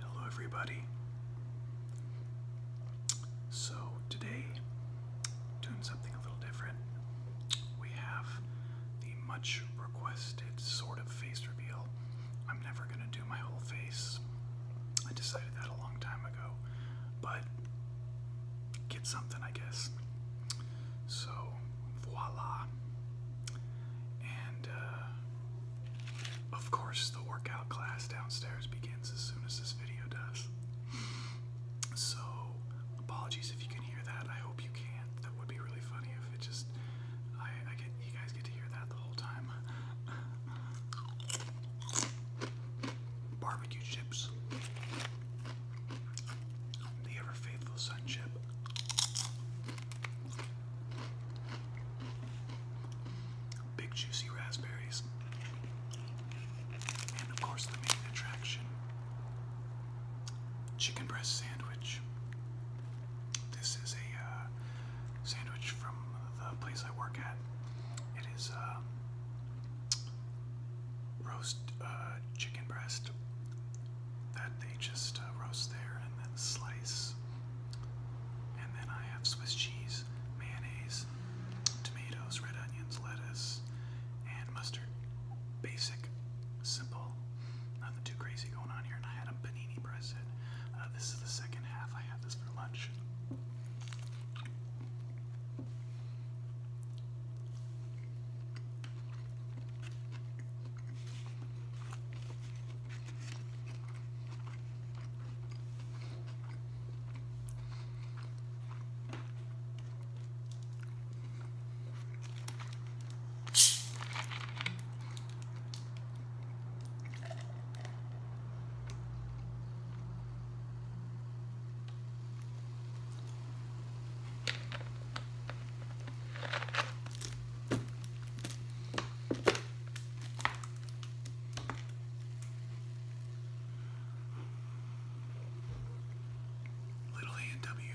Hello, everybody. So, today, doing something a little different. We have the much requested sort of face reveal I'm never going to do my whole face. I decided that a long time ago, but get something, I guess. So, voila. And, uh, of course, the workout class downstairs begins as soon as this video does. So, apologies if you can hear that. I hope you can't. That would be really funny if it just you guys get to hear that the whole time. Barbecue chips. The ever faithful sun chip. Big juicy raspberries. And of course, the main attraction chicken breast sandwich. This is a uh, sandwich from the place I work at. It is uh, roast uh, chicken breast that they just uh, roast there and then slice. And then I have Swiss cheese, mayonnaise, tomatoes, red onions, lettuce, and mustard. Basic, simple, nothing too crazy going on here. And I had a panini present. Uh, this is the second half. I had this for lunch. Little A&W.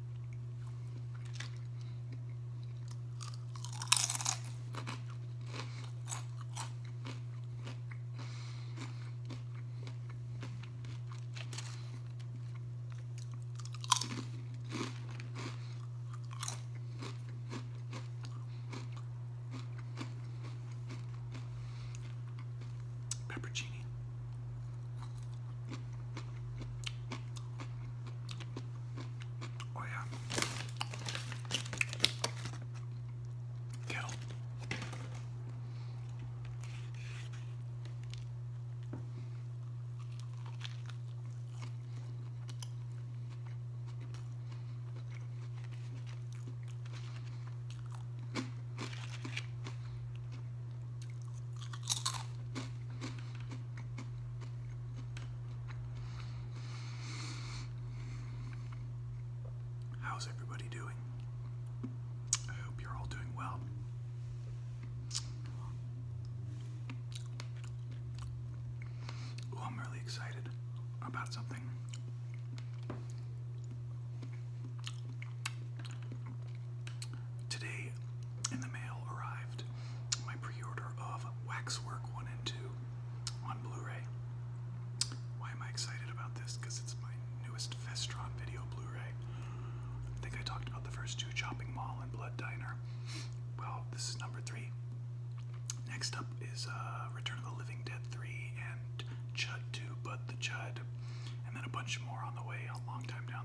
Peppercini. Oh yeah. Kettle. How's everybody doing? I hope you're all doing well. Ooh, I'm really excited about something. Today in the mail arrived my pre-order of Waxwork 1 and 2 on Blu-ray. Why am I excited about this? Because it's my newest Festron video Blu-ray. I think I talked about the first two, Chopping Mall and Blood Diner. Well, this is number three. Next up is uh, Return of the Living Dead 3 and Chud 2, But the Chud, and then a bunch more on the way a long time down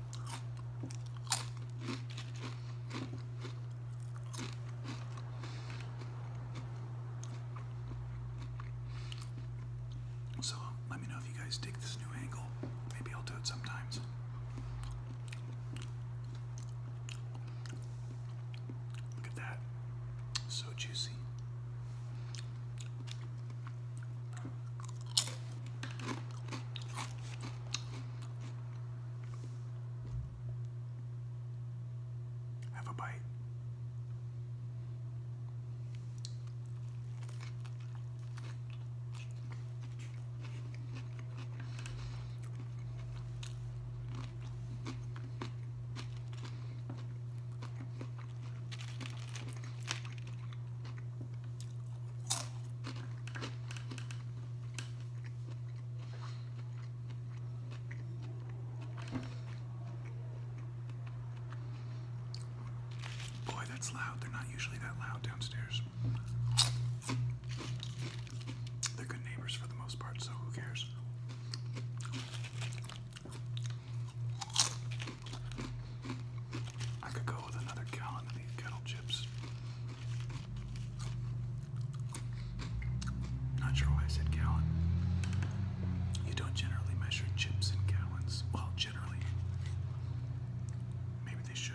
So let me know if you guys dig this new angle. Maybe I'll do it sometimes. Look at that. So juicy. Have a bite. Boy, that's loud. They're not usually that loud downstairs. They're good neighbors for the most part, so who cares? I could go with another gallon of these kettle chips. Not sure why I said gallon. You don't generally measure chips in gallons. Well, generally. Maybe they should.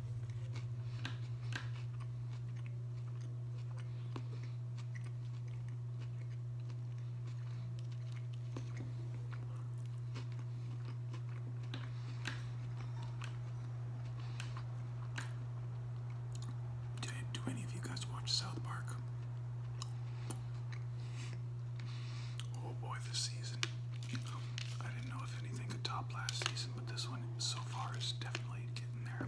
Do, any of you guys watch South Park? Oh boy, this season. I didn't know if anything could top last season this one so far is definitely getting there.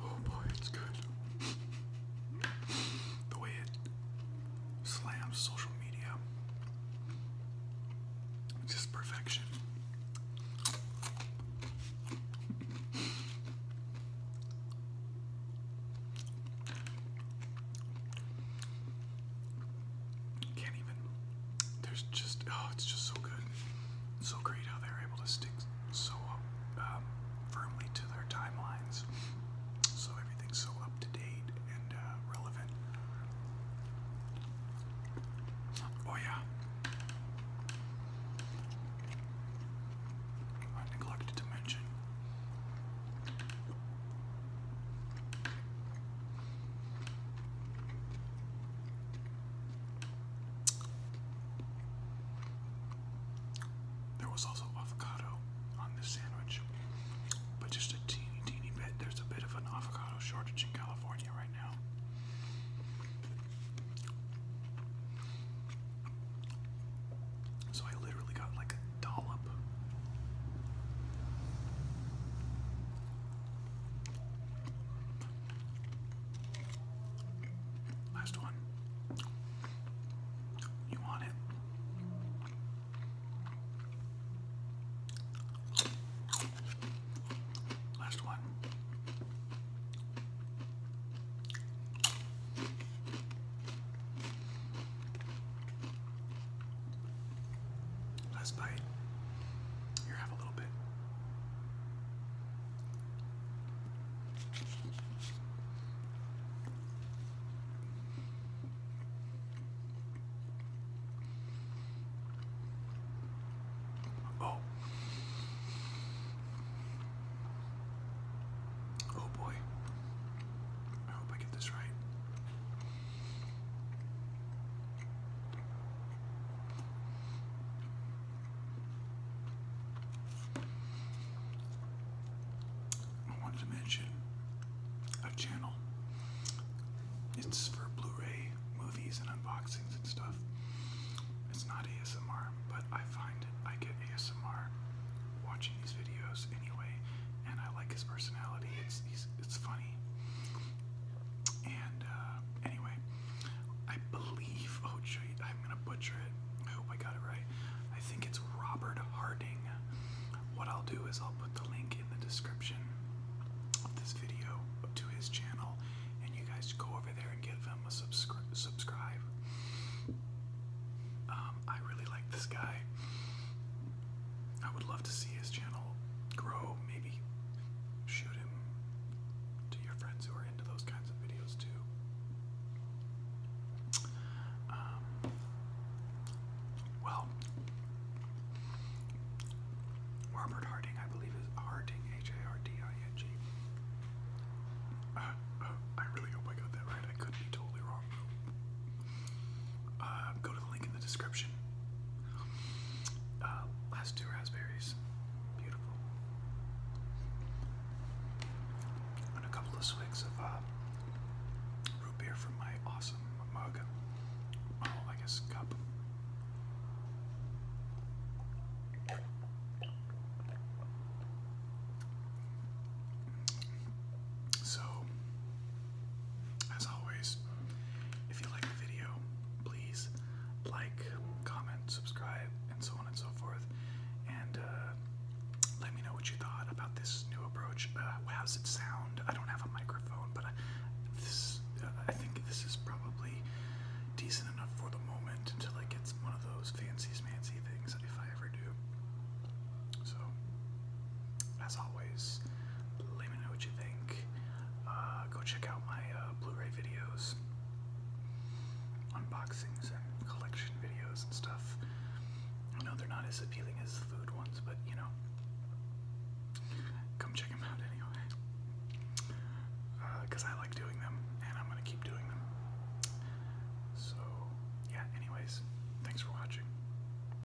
Oh boy, it's good. The way it slams social media. Just perfection. Can't even. There's just oh, it's just so good. so great how they're able to stick so um, firmly to their timelines, so everything's so up to date and uh, relevant. Oh yeah. I neglected to mention there was also avocado on this sandwich, but just a teeny, teeny bit. There's a bit of an avocado shortage in California right now. So I literally got like dollop. Last one. You want it? Last one. Last bite. Here, have a little bit. Oh. Oh boy. I hope I get this right. I wanted to mention a channel. It's for Blu-ray movies and unboxings and stuff. It's not ASMR, but I find I get ASMR watching these videos anyway, and I like his personality. It's he's it's funny. And uh, anyway, I believe oh, I'm gonna butcher it. I hope I got it right. I think it's Robert Harding. What I'll do is I'll put the link in the description of this video to his channel, and you guys go over there and give him a subscribe. Um, I really like this guy. I would love to see his channel grow. Maybe shoot him to your friends who are into those kinds of videos too. Um, well, Robert Harding, I believe, is Harding, H A R D I N G. Uh, uh, really hope I got that right. I could be totally wrong. Um, go to the link in the description. Uh, last two raspberries. Beautiful. And a couple of swigs of uh, root beer from my awesome mug. Oh, I guess cup. So, as always, if you like the video, please like, comment, subscribe, and so on and so forth. And uh, let me know what you thought about this new approach. Uh, how does it sound? I don't have a microphone, but uh, I, think this is probably decent enough for the moment until I get one of those fancy, fancy things if I ever do. So, as always, let me know what you think. Uh, go check out my uh, Blu-ray videos, unboxings and collection videos and stuff. I know they're not as appealing as the food ones, but you know, come check them out anyway. Because uh, I like doing them, and I'm going to keep doing them. So, yeah, anyways, thanks for watching.